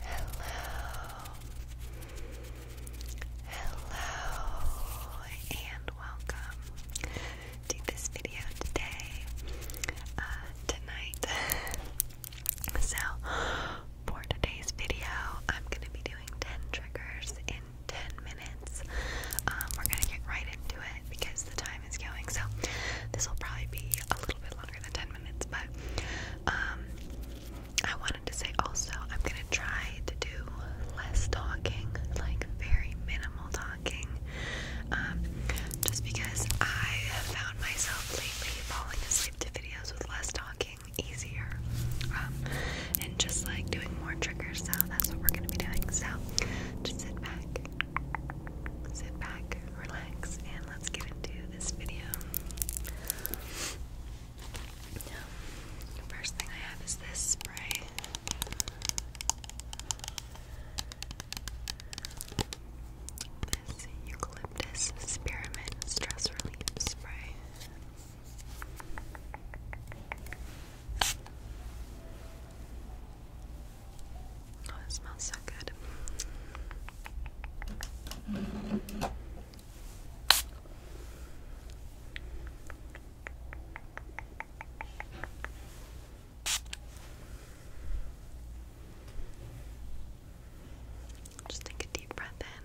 Hello, hello, and welcome to this video today, uh, tonight. so, for today's video, I'm going to be doing 10 triggers in 10 minutes. Um, we're going to get right into it because the time so this will probably be a little bit longer than 10 minutes. But um, I wanted to say also, I'm gonna try to do less talking, like very minimal talking, um, just because I have found myself lately falling asleep to videos with less talking easier, um, and just like doing more triggers. So that's what we're gonna be doing. So just sit back, sit back, relax, and let's get into this video. First thing I have is this spray. This eucalyptus spearmint stress relief spray. Oh, it smells so good. Just take a deep breath in.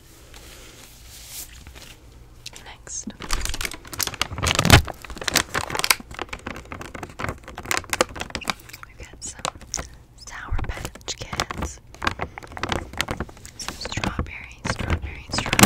Next. We've got some Sour Patch Kids. Some strawberry, strawberry, strawberry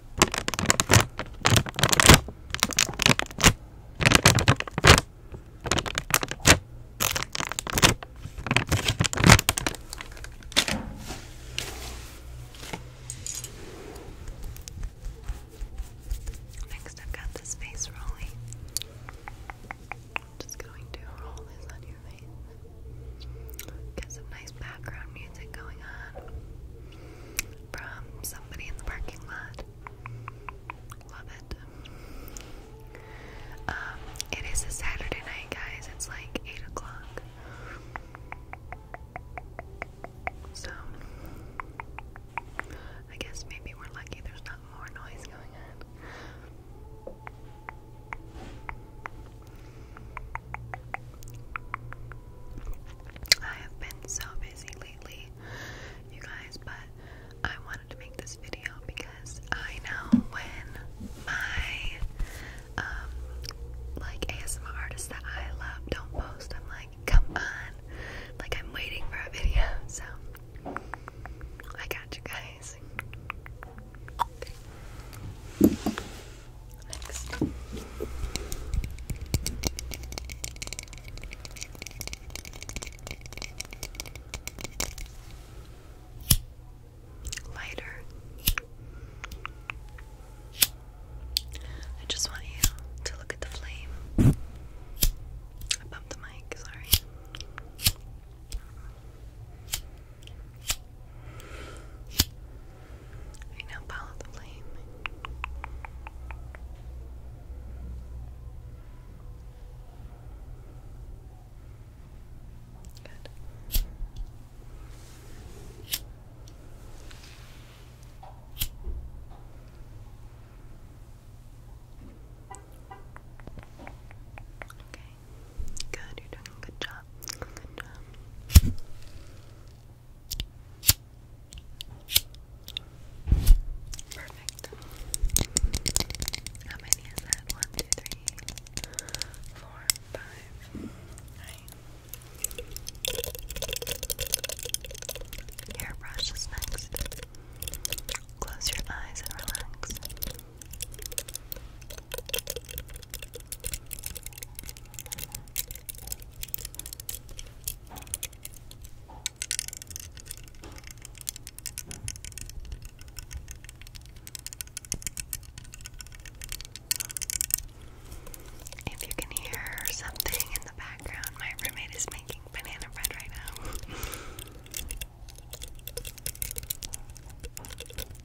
Next, I've got this face rolling. just going to roll this on your face. Get some nice background music going on from somebody in the parking lot. Love it. Um, it is a Saturday night, guys. It's like 8 o'clock. So, I guess maybe we're lucky there's not more noise going on. I have been so busy lately, you guys, but I wanted to make this video because I know when my um, like ASMR artists that I love don't post, I'm like, come on. Like I'm waiting for a video, so I got you guys. Next. Lighter. I just want you to look at the flame. I bumped the mic, sorry. I now follow the flame. Good. Okay. Good. You're doing a good job. Good job. Perfect. How many is that? One, two, three, four, five, nine. Hairbrush is next. Close your eyes and relax. If you can hear something in the background, my roommate is making banana bread right now.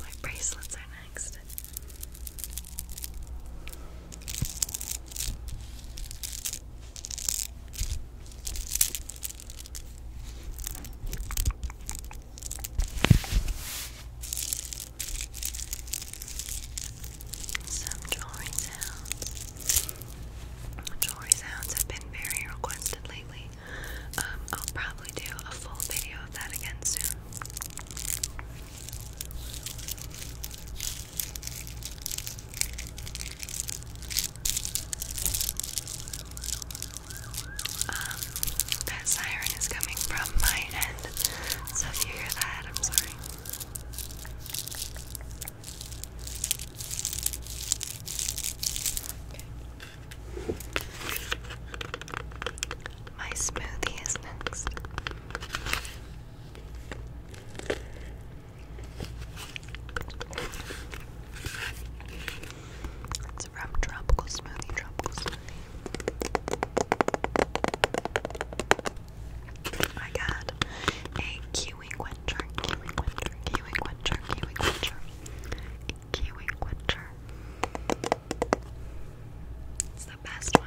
My bracelets are next. Some drawing sounds. Jewelry sounds have been very requested lately. Um, I'll probably do a full video of that again soon. Um, that siren is coming from my end. So if you hear that, I'm sorry. My smoothie is next from Tropical Smoothie, Tropical Smoothie. I got a kiwi quencher, kiwi quencher, kiwi quencher, kiwi quencher, It's the best one.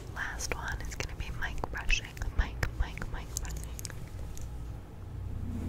last one is gonna be Mike brushing. Mic, mic, Mike brushing. Okay,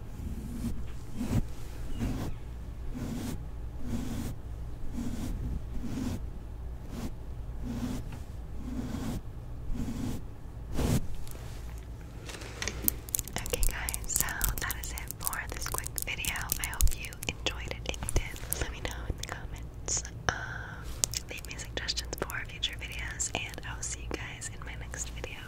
Okay, guys, so that is it for this quick video. I hope you enjoyed it. If you did, let me know in the comments. Um, leave me suggestions for future videos, and I will see you guys in my next video.